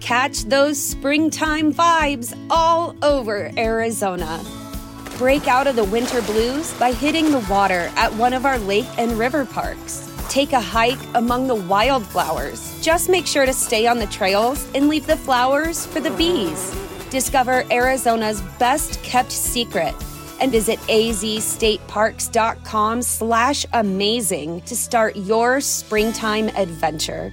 Catch those springtime vibes all over Arizona. Break out of the winter blues by hitting the water at one of our lake and river parks. Take a hike among the wildflowers. Just make sure to stay on the trails and leave the flowers for the bees. Discover Arizona's best kept secret and visit azstateparks.com slash amazing to start your springtime adventure.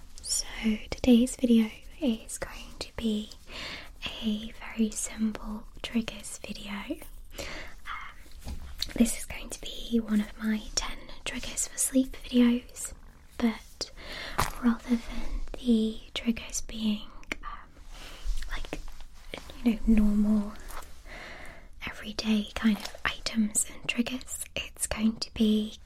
So today's video is going to be a very simple triggers video. Um, this is going to be one of my 10 triggers for sleep videos, but rather than the triggers being um, like you know normal everyday kind of items and triggers, it's going to be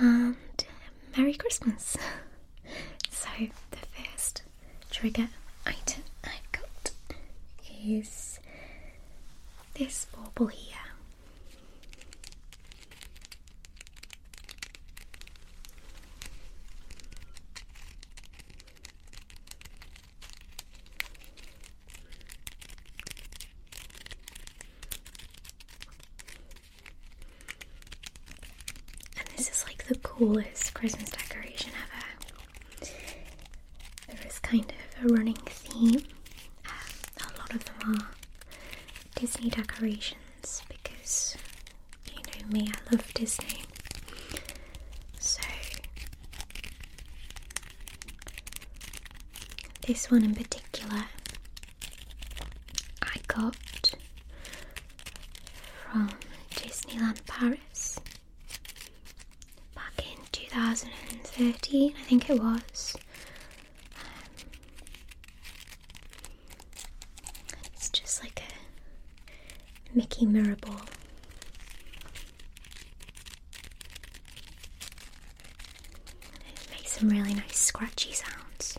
and um, Merry Christmas. so, the first trigger item I've got is this bauble here. And this is like the coolest Christmas decoration ever. There is kind of a running theme. Um, a lot of them are Disney decorations because you know me, I love Disney. So this one in particular I got from Disneyland Paris back in 2013, I think it was. Um, it's just like a Mickey mirror ball. It makes some really nice scratchy sounds.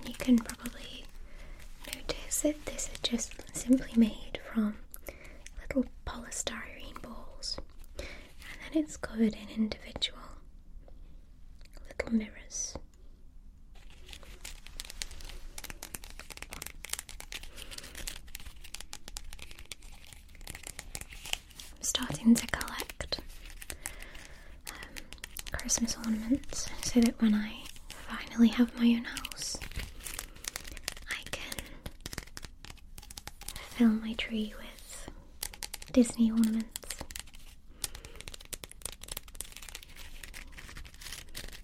And you can probably notice that this is just simply made from little polystyrene balls, and then it's covered in individual little mirrors. I'm starting to collect um, Christmas ornaments so that when I finally have my own house, I can fill my tree with Disney ornaments.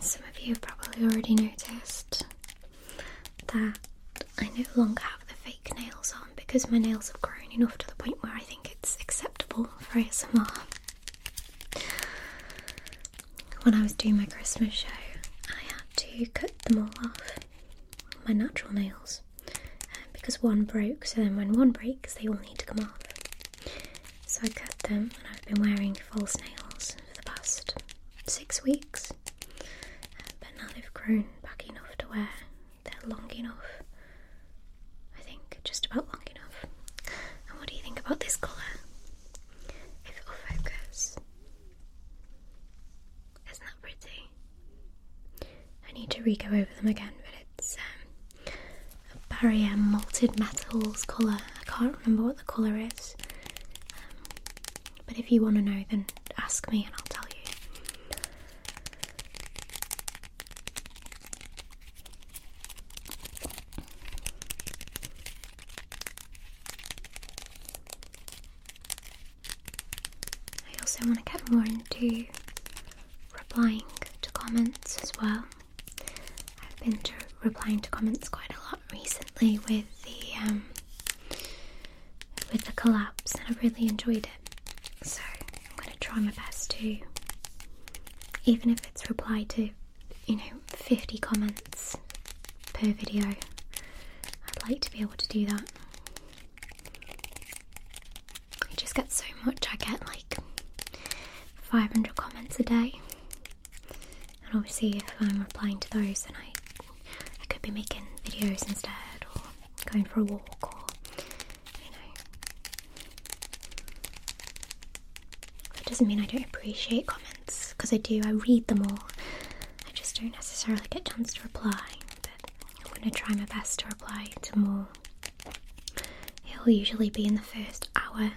And some of you have probably already noticed that I no longer have the fake nails on because my nails have grown enough to the point where I think it's acceptable for ASMR. When I was doing my Christmas show, I had to cut them all off, my natural nails, um, because one broke, so then when one breaks, they all need to come off. So I cut them, and I've been wearing false nails for the past six weeks, um, but now they've grown back enough to wear they're long enough. I think just about long enough. And what do you think about this colour? If it will focus. Isn't that pretty? I need to re go over them again, but it's um, a barrier malted metals colour. I can't remember what the colour is. Um, but if you want to know, then ask me and I'll tell you. I also want to get more into replying to comments as well. I've been replying to comments quite a lot recently with the um, with the collapse, and I've really enjoyed it. So I'm going to try my best to, even if it's reply to, you know, 50 comments per video, I'd like to be able to do that. I just get so much, I get like 500 comments a day. And obviously, if I'm replying to those, then I, I could be making videos instead or going for a walk or, you know. That doesn't mean I don't appreciate comments, because I do, I read them all. I just don't necessarily get a chance to reply, but I'm going to try my best to reply to more. It will usually be in the first hour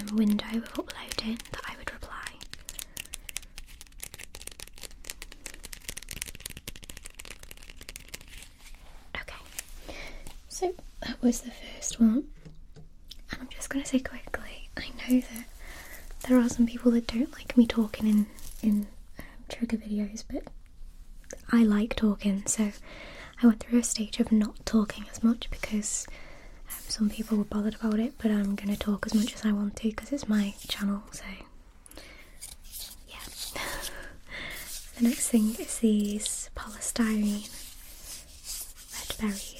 um, window of uploading that I would reply. Okay, so that was the first one, and I'm just going to say quickly I know that there are some people that don't like me talking in, in um, trigger videos, but I like talking, so I went through a stage of not talking as much because um, some people were bothered about it, but I'm going to talk as much as I want to because it's my channel, so yeah. the next thing is these polystyrene red berries.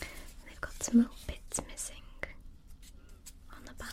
And they've got some little bits missing on the back.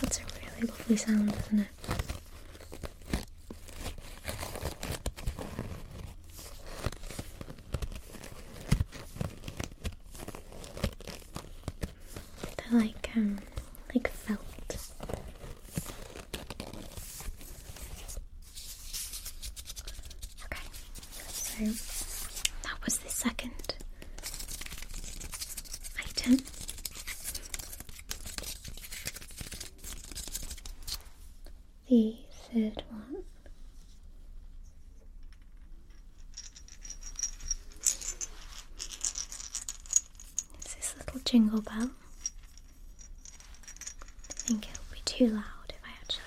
That's a really lovely sound, isn't it? They're like um like felt Okay, so that was the second item. The third one. is this little jingle bell. I think it would be too loud if I actually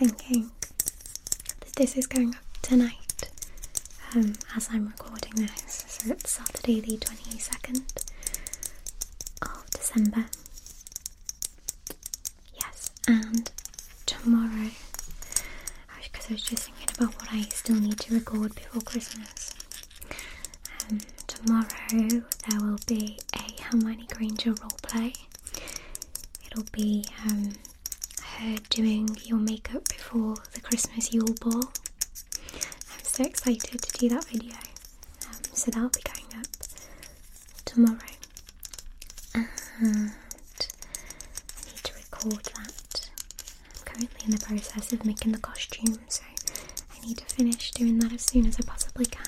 I'm just thinking this is going up tonight um, as I'm recording this, so it's Saturday the 22nd of December. Yes, and tomorrow, because I was just thinking about what I still need to record before Christmas. Um, tomorrow there will be a Hermione Granger role play. It'll be um, her doing your makeup before the Christmas Yule Ball. I'm so excited to do that video. Um, so that'll be going up tomorrow. And I need to record that. I'm currently in the process of making the costume, so I need to finish doing that as soon as I possibly can.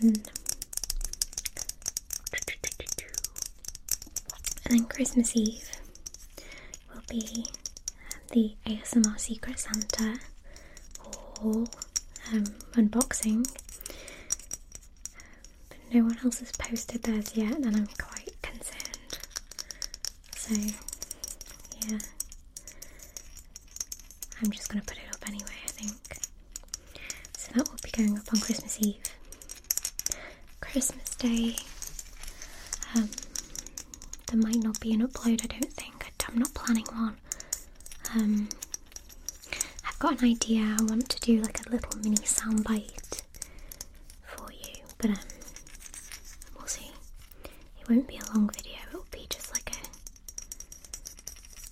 And then and then Christmas Eve will be the ASMR Secret Santa haul um, unboxing. But no one else has posted theirs yet, and I'm quite concerned. So, yeah. I'm just going to put it up anyway, I think. So that will be going up on Christmas Eve. Christmas Day. Um, there might not be an upload, I don't think. I'm not planning one. Um, I've got an idea. I want to do like a little mini soundbite for you, but um, we'll see. It won't be a long video. It'll be just like a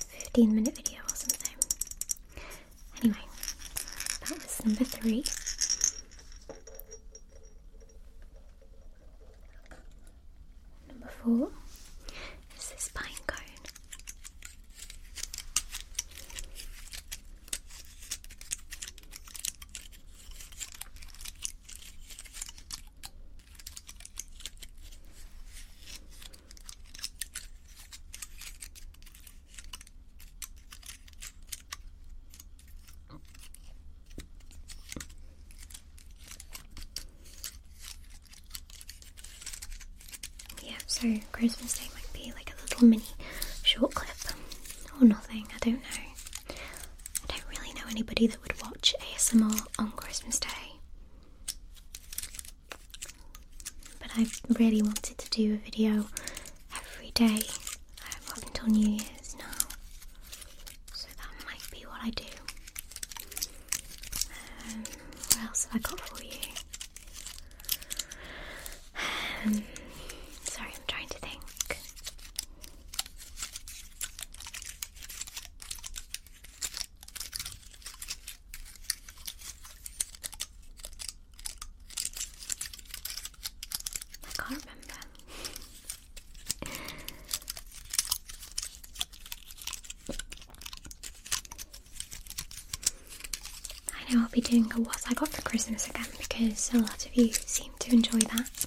15 minute video or something. Anyway, that was number three. Number four is this pine cone. Yeah, so Christmas Day might be like a little mini short clip or nothing, I don't know. I don't really know anybody that would watch ASMR on Christmas Day. But I really wanted to do a video every day um, up until New Year's now. So that might be what I do. Um, what else have I got for you? Um, sorry, I'm trying to think. I can't remember. I know I'll be doing a what I got for Christmas again because a lot of you seem to enjoy that.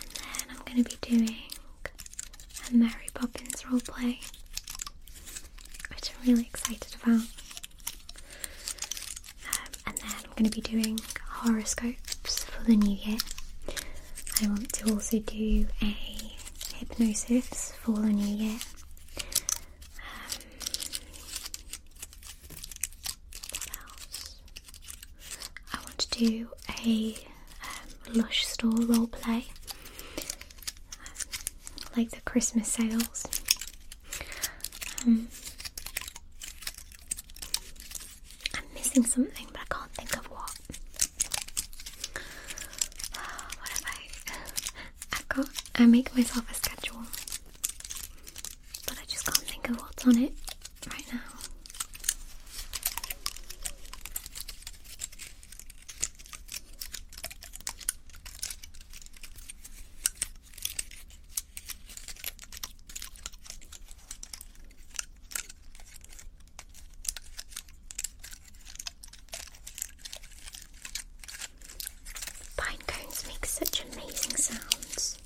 And then I'm going to be doing and Mary Poppins roleplay, which I'm really excited about. Um, and then we're going to be doing horoscopes for the new year. I want to also do a hypnosis for the new year. Um, what else? I want to do a um, Lush Store roleplay like the Christmas sales. Um, I'm missing something, but I can't think of what. What have I? i got. I make myself a schedule, but I just can't think of what's on it right now. Pine cones make such amazing sounds.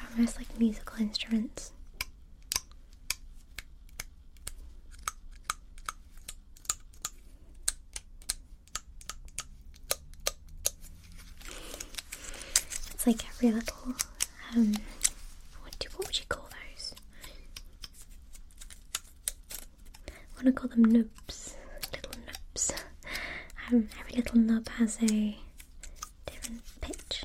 They're almost like musical instruments. It's like every little um what do what would you call those? I wanna call them nubs. Little nubs. Um every little knob has a different pitch.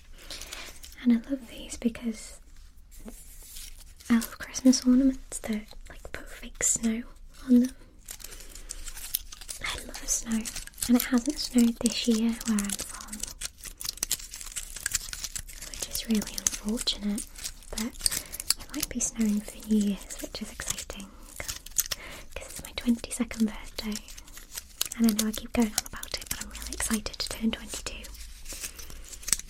And I love these because I love Christmas ornaments that like put fake snow on them. I love snow, and it hasn't snowed this year where I'm from, which is really unfortunate. But it might be snowing for New Year's, which is exciting because it's my 22nd birthday, and I know I keep going on about it, but I'm really excited to turn 22.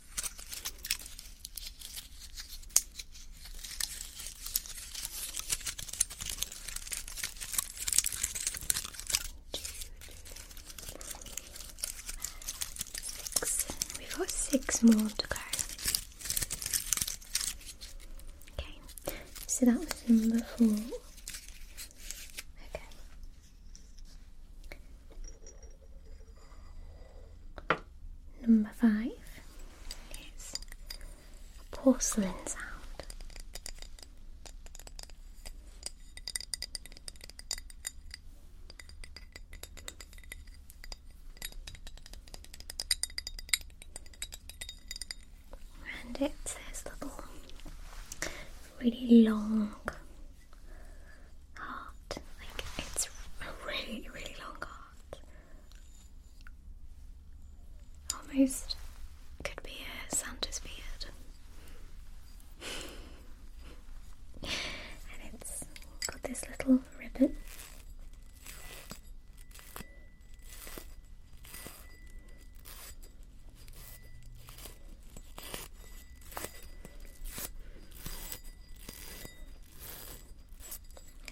we We've got six more to go. Okay, so that was number four. Okay. Number five is a porcelain sound. And it's this little really long heart. Like it's a really, really long heart. Almost could be a Santa's beard. and it's got this little ribbon.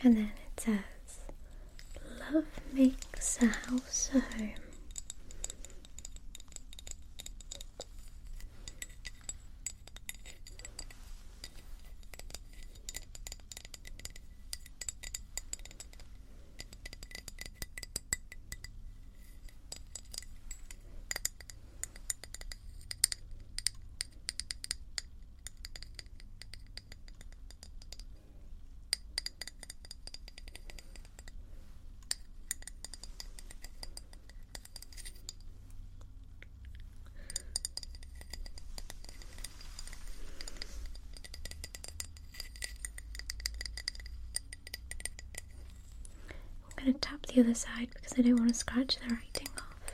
And then it says, Love makes a house a home. I'm going to tap the other side because I don't want to scratch the writing off.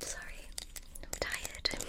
Sorry, I'm tired.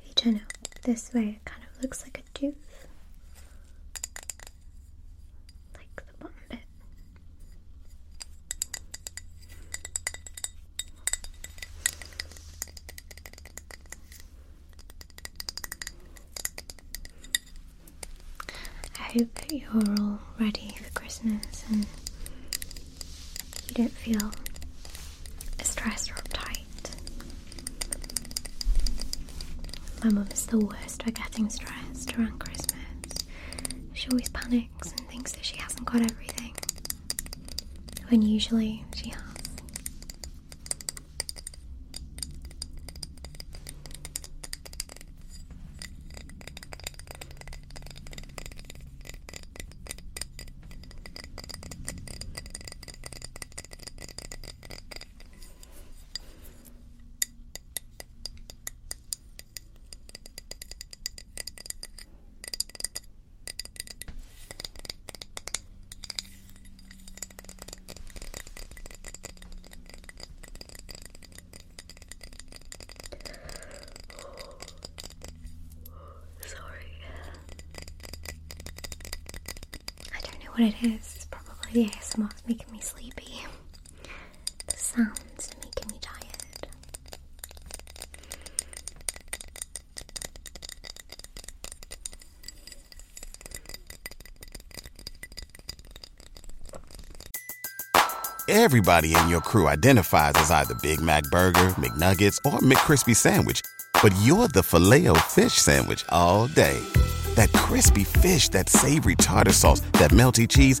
If you turn it this way, it kind of looks like a tooth, like the bottom bit. I hope that you're all ready for Christmas and you don't feel stressed or uptight. My mum is the worst at getting stressed around Christmas she always panics and thinks that she hasn't got everything when usually she has. Sorry. I don't know what it is. It's probably the ASMR's making me sleepy. The sounds are making me tired. Everybody in your crew identifies as either Big Mac Burger, McNuggets, or McCrispy Sandwich, but you're the filet fish Sandwich all day. That crispy fish, that savory tartar sauce, that melty cheese,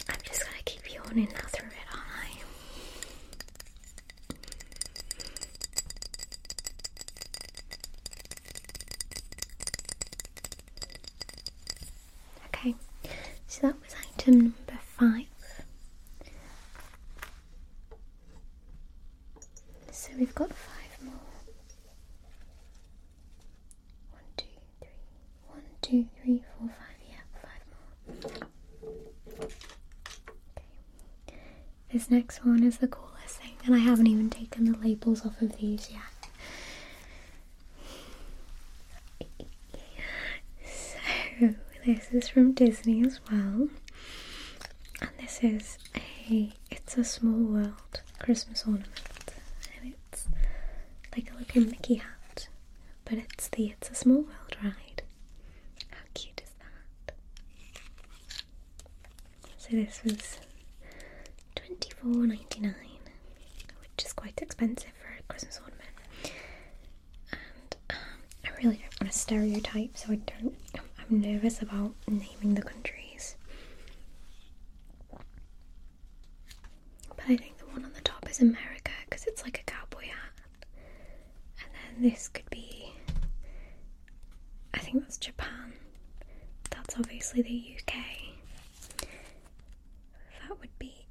I'm just gonna keep you on and now through it, aren't I? Okay, so that was item number five. So we've got five more. One, two, three. One, two, three, four, five. Yeah, five more. Okay. This next one is the coolest thing, and I haven't even taken the labels off of these yet. so this is from Disney as well, and this is a "It's a Small World" Christmas ornament, and it's like a little Mickey hat, but it's the "It's a Small World" ride. How cute is that? So this was twenty four ninety nine, which is quite expensive for a Christmas ornament and um, I really don't want to stereotype, so I don't. I'm nervous about naming the countries, but I think the one on the top is America because it's like a cowboy hat, and then this could be. I think that's Japan. That's obviously the UK. That would be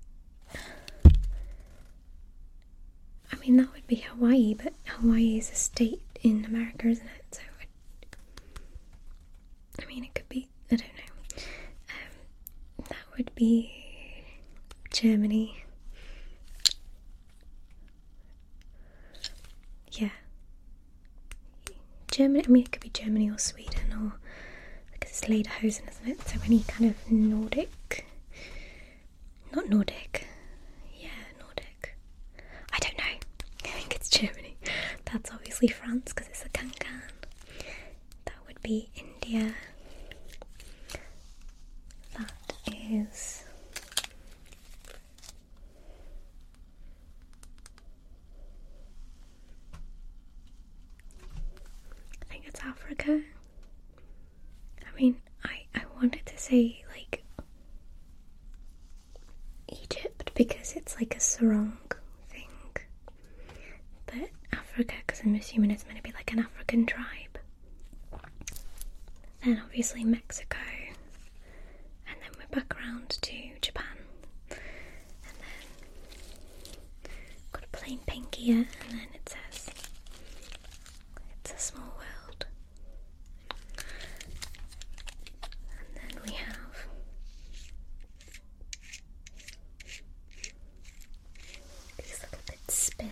I mean, that would be Hawaii, but Hawaii is a state in America, isn't it? So, I mean, it could be, I don't know. Um, that would be Germany. Yeah. Germany, I mean, it could be Germany or Sweden or, because it's Lederhosen, isn't it? So, any kind of Nordic not Nordic. Yeah, Nordic. I don't know. I think it's Germany. That's obviously France because it's a Kankan. That would be India. That is. I think it's Africa. I mean, I, I wanted to say, like, Egypt because it's like a sarong thing. But Africa, because I'm assuming it's going to be like an African tribe. Then obviously Mexico. And then we're back around to Japan. And then Got a plain pink here, and then it says it's a small world. And then we have these little bits spin.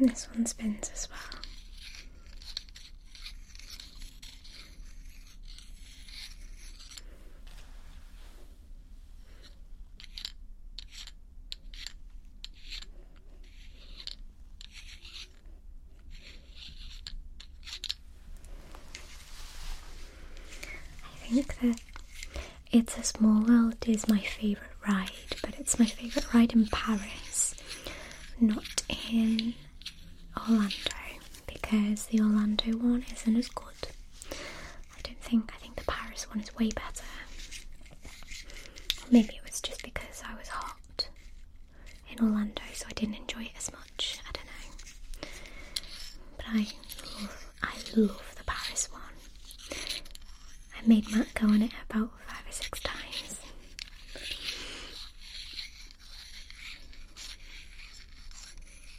And then this one spins as well. I think that It's a Small World is my favorite ride, but it's my favorite ride in Paris, not in Orlando, because the Orlando one isn't as good. I don't think, I think the Paris one is way better. Maybe it was just because I was hot in Orlando, so I didn't enjoy it as much. I don't know. But I love, I love the Paris one. I made Matt go on it about five or six times.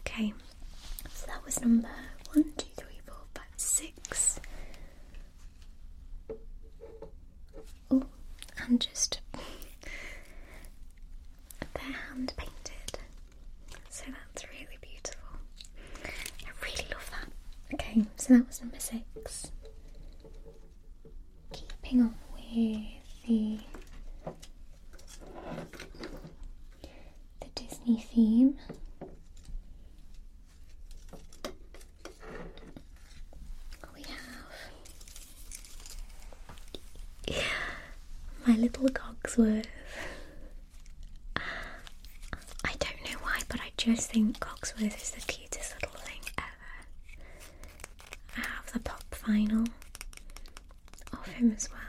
Okay, so that was number one, two, three, four, five, six. Oh, and just they're hand painted, so that's really beautiful. I really love that. Okay, so that was number six keeping on with the the Disney theme. We have my little Cogsworth. I don't know why, but I just think Cogsworth is the cutest little thing ever. I have the pop vinyl of him as well.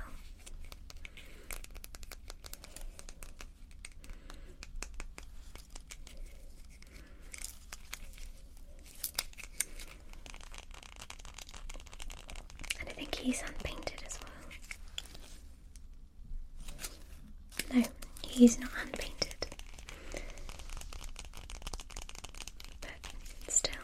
I think he's unpainted as well. No, he's not unpainted. But still,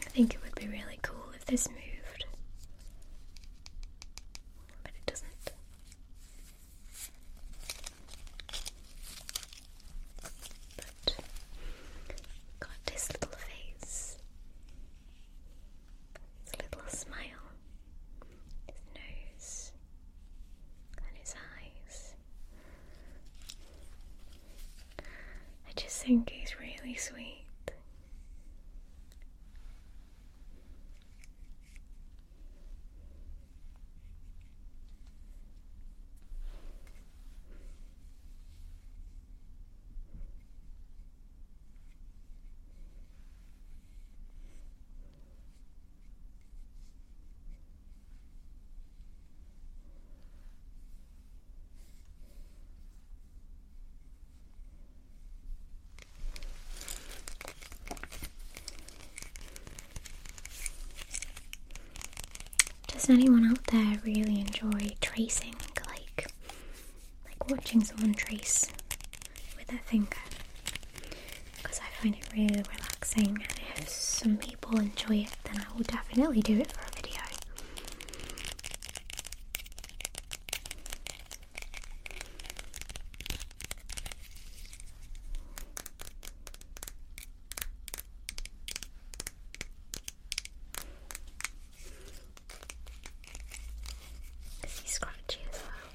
I think it would be really cool if this moved, but it doesn't. But got this little face his little smile, his nose, and his eyes. I just think he's really sweet. Does anyone out there really enjoy tracing, like, like watching someone trace with a finger because I find it really relaxing and if some people enjoy it then I will definitely do it for a video. Is scratchy as well?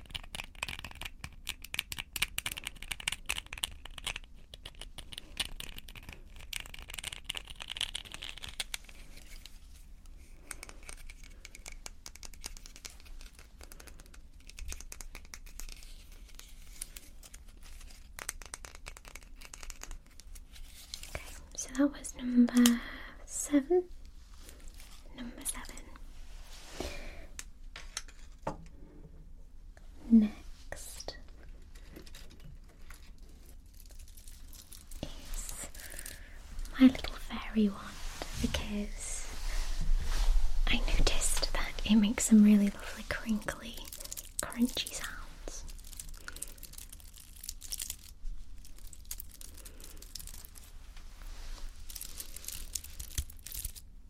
Okay, so that was number seven. Number seven. Next is my little fairy wand because I noticed that it makes some really lovely crinkly, crunchy sounds.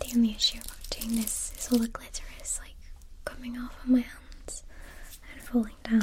Damn issue sheer doing This is all the glitter is like coming off of my hands and falling down.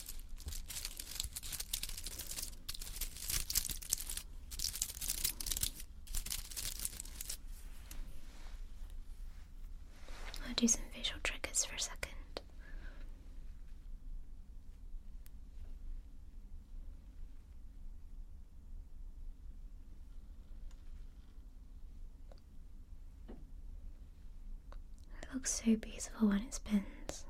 I'll do some visual triggers for a second. It looks so beautiful when it spins.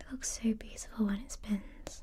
It looks so beautiful when it spins.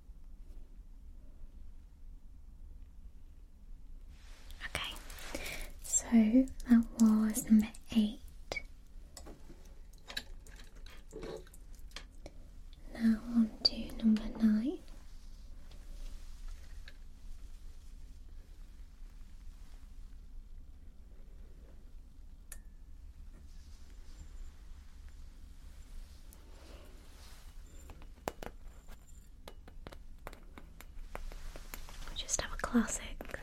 Okay, so that was number eight. Now on to number nine. Just have a classic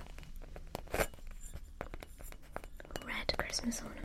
red Christmas ornament.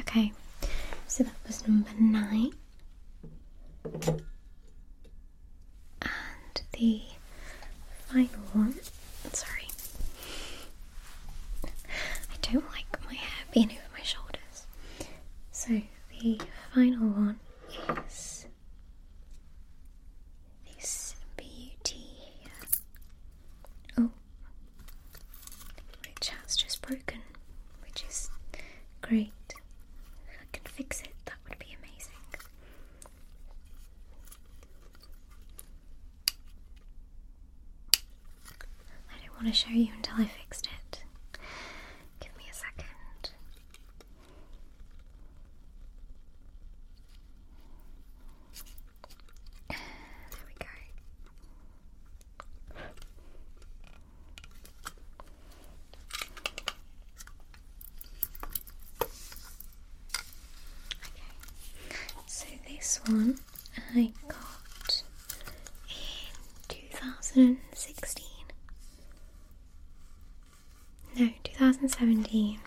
Okay, so that was number nine. And the final one, sorry, I don't like my hair being over my shoulders. So the final one is this beauty here. Oh, which has just broken, which is great. If I can fix it, that would be amazing. I didn't want to show you until I fixed it. Give me a second. There we go so this one I got in 2016. No, 2017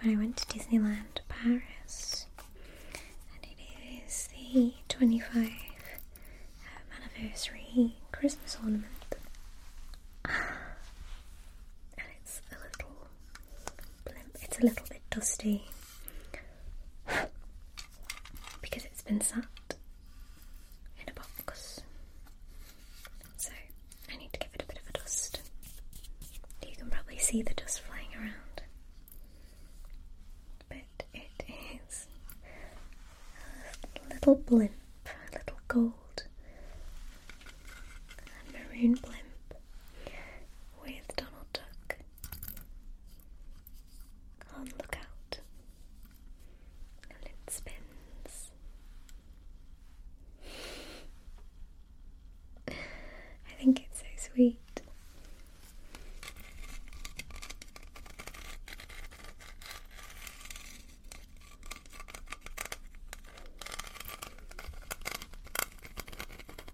when I went to Disneyland Paris. And it is the 25th anniversary Christmas ornament. and it's a little it's a little bit dusty because it's been sat in a box. So I need to give it a bit of a dust. You can probably see the dust flying around. But it is a little blimp, a little gold and maroon blimp with Donald Duck on lookout, and it spins. I think it's so sweet.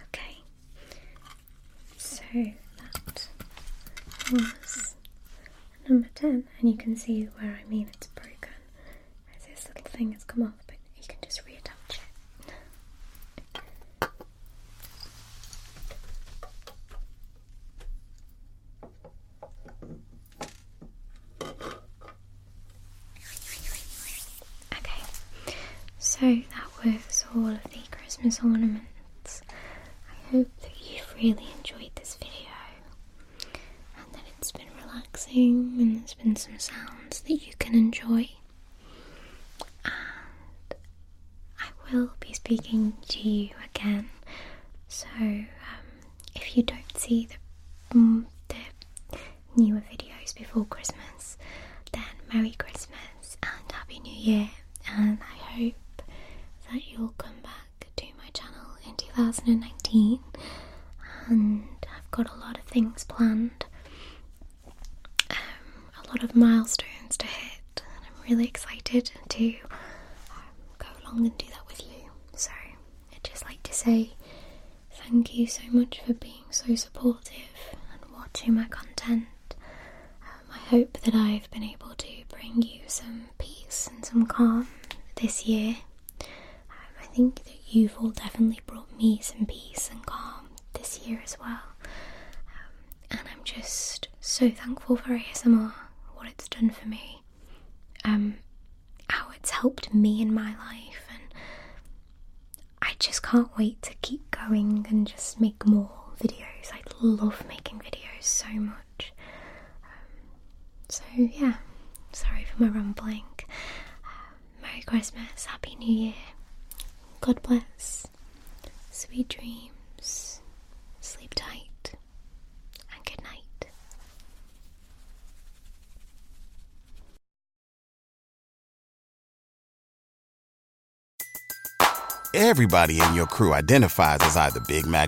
Okay, so that was number 10 and you can see where I mean it's broken as this little thing has come off but you can just reattach it Okay, so that was all of the Christmas ornaments. I hope that you've really enjoyed this video and then it's been relaxing and there's been some sounds that you can enjoy. And I will be speaking to you again, so um, if you don't see the, mm, the newer videos before Christmas, then Merry Christmas and Happy New Year, and I hope that you'll come back to my channel in 2019 and I've got a lot of things planned, um, a lot of milestones to hit, and I'm really excited to um, go along and do that with you. So, I'd just like to say thank you so much for being so supportive and watching my content. Um, I hope that I've been able to bring you some peace and some calm this year. Um, I think that you've all definitely brought me some peace and calm this year as well. Um, and I'm just so thankful for ASMR, what it's done for me, um, how it's helped me in my life. And I just can't wait to keep going and just make more videos. I love making videos so much. Um, so, yeah, sorry for my rambling. Um, Merry Christmas, Happy New Year, God bless, sweet dreams, sleep tight, and good night. Everybody in your crew identifies as either Big Mac